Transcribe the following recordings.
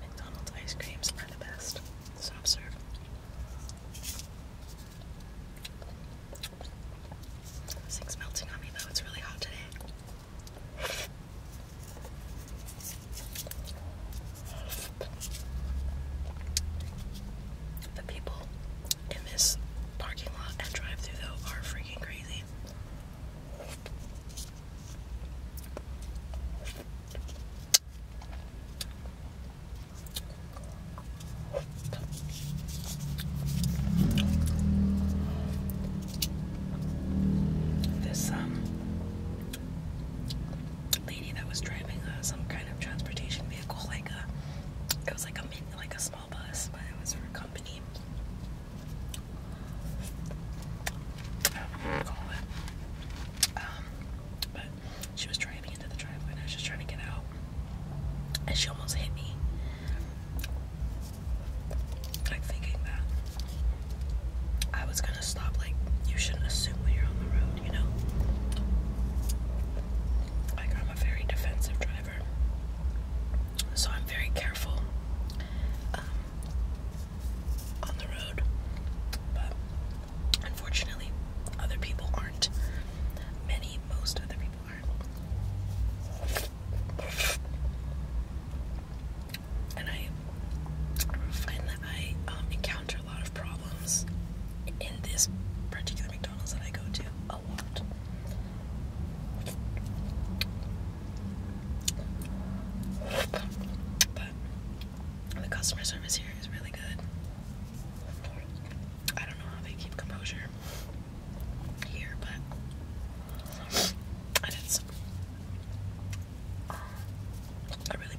McDonald's ice creams are the best. Soft serve. This thing's melting on me though, it's really hot today. The people in this parking lot and drive through though are freaking crazy. This um lady that was driving uh, some kind of transportation it was like a small bus, but it was for a company. Um, she was driving into the driveway, and I was just trying to get out, and she almost hit me. Like thinking that I was gonna stop. Like you shouldn't assume when you're on the road you know? I'm a very defensive driver, so I'm very careful um, on the road. But unfortunately, other people aren't. Many, most other people are And I find I um, encounter a lot of problems in this particular McDonald's that I go to a lot. But the customer service here is really good. I don't know how they keep composure here, but it is. I really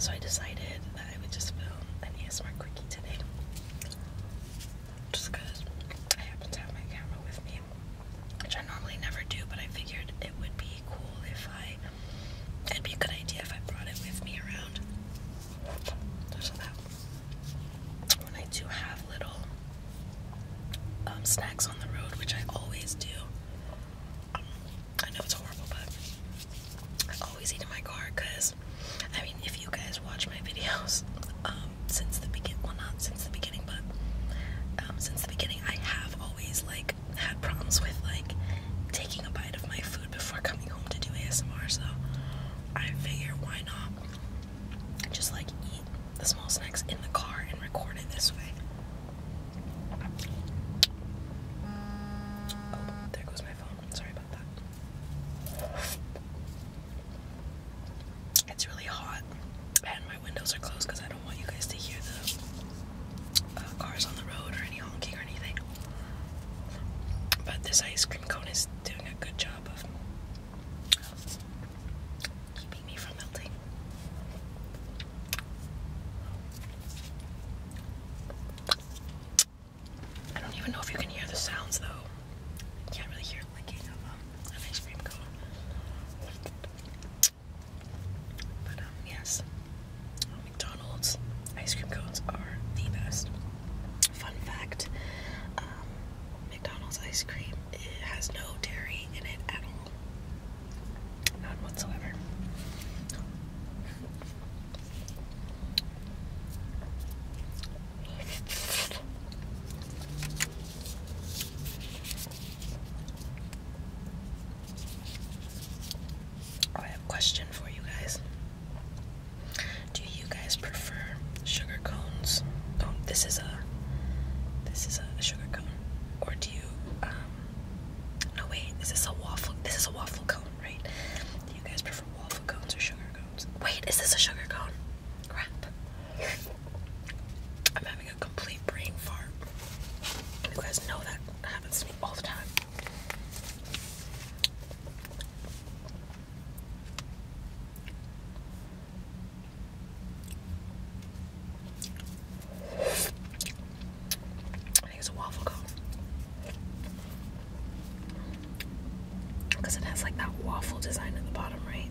so I decided that I would just film an ASMR quickie today, just because I happen to have my camera with me, which I normally never do, but I figured it would be cool if I. It'd be a good idea if I brought it with me around. There's a when I do have little um, snacks on the road, which I always do. I know it's horrible, but I always eat in my car because, I mean, if you guys watch my videos um, since the beginning, well, not since the beginning, but um, since the beginning, I have always like had problems with like taking a bite of my food before coming home to do ASMR. So I figure why not just like eat the small snacks in the car and record it this way. Oh, there goes my phone. Sorry about that. It's really hot, and my windows are closed because I don't want you guys to hear the uh, cars on the road or any honking or anything. But this ice cream cone is doing a good job of keeping me from melting. I don't even know if you can hear the sounds though. can't really hear licking of an ice cream cone. But um, yes, McDonald's ice cream cones are the best. Fun fact: um, McDonald's ice cream. It has no dairy in it at all. None whatsoever. I have a question for you guys. Do you guys prefer sugar cones? Oh, this is a this is a sugar cone. Or do you um, no wait, is this a waffle this is a waffle cone, right? Do you guys prefer waffle cones or sugar cones? Wait, is this a sugar cone? Crap. I'm having a complete brain fart. You guys know that happens to me all the time. I think it's a waffle cone. Because it has like that waffle design at the bottom, right?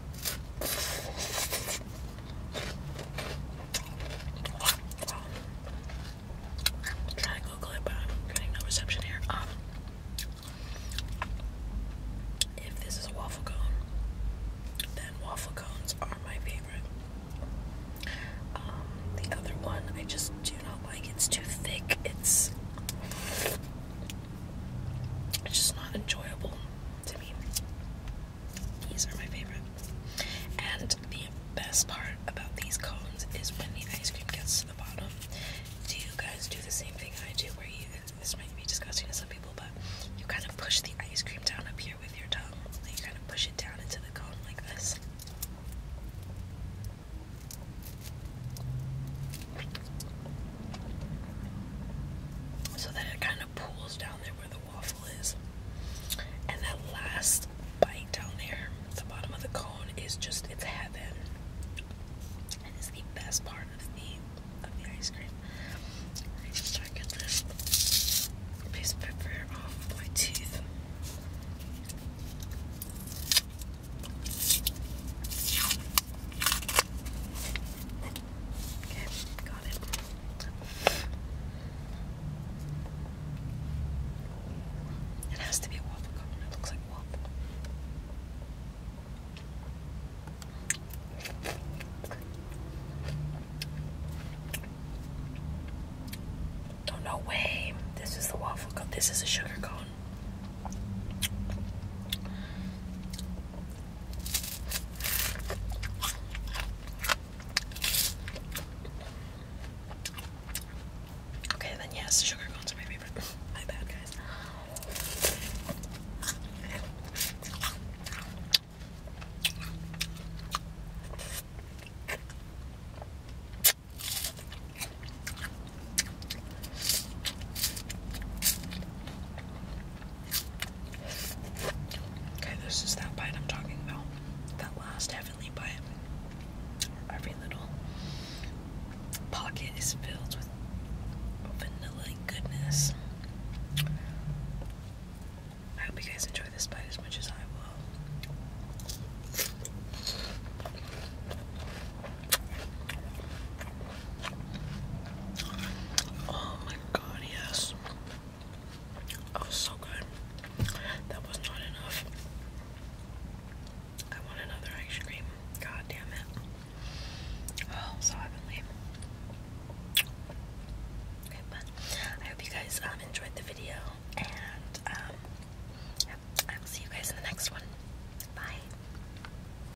i to Google it, I'm getting no reception here. Um, if this is a waffle cone, then waffle cones are my favorite. Um, the other one, I just do not like. It's too thick. It's it's just not enjoyable to me. These are my favorite. And the best part about these cones is when the ice cream gets to the bottom. Do you guys do the same thing I do where you, this might be disgusting to some people, but you kind of push the ice cream down up here with your tongue. you kind of push it down into the cone like this so that it kind of pools down there where the waffle is. And that last bite down there at the bottom of the cone is just it's heaven. And it's the best part of the of the ice cream. I just try to get this piece of paper off my teeth. Okay, got it. It has to be a waffle cone. It looks like waffle. Oh no way! This is the waffle cone. This is a sugar cone. Okay, then yes, sugar cones are my favorite. my bad, guys. Okay, this is that bite I'm talking about. That last heavenly bite. Every little pocket is filled with vanilla goodness. I hope you guys enjoy this bite as much as I will. Oh my god, yes. That was so good. That was not enough. I want another ice cream. God damn it. Oh, so heavenly. but I hope you guys um, enjoyed the video, and um, I will see you guys in the next one. Bye.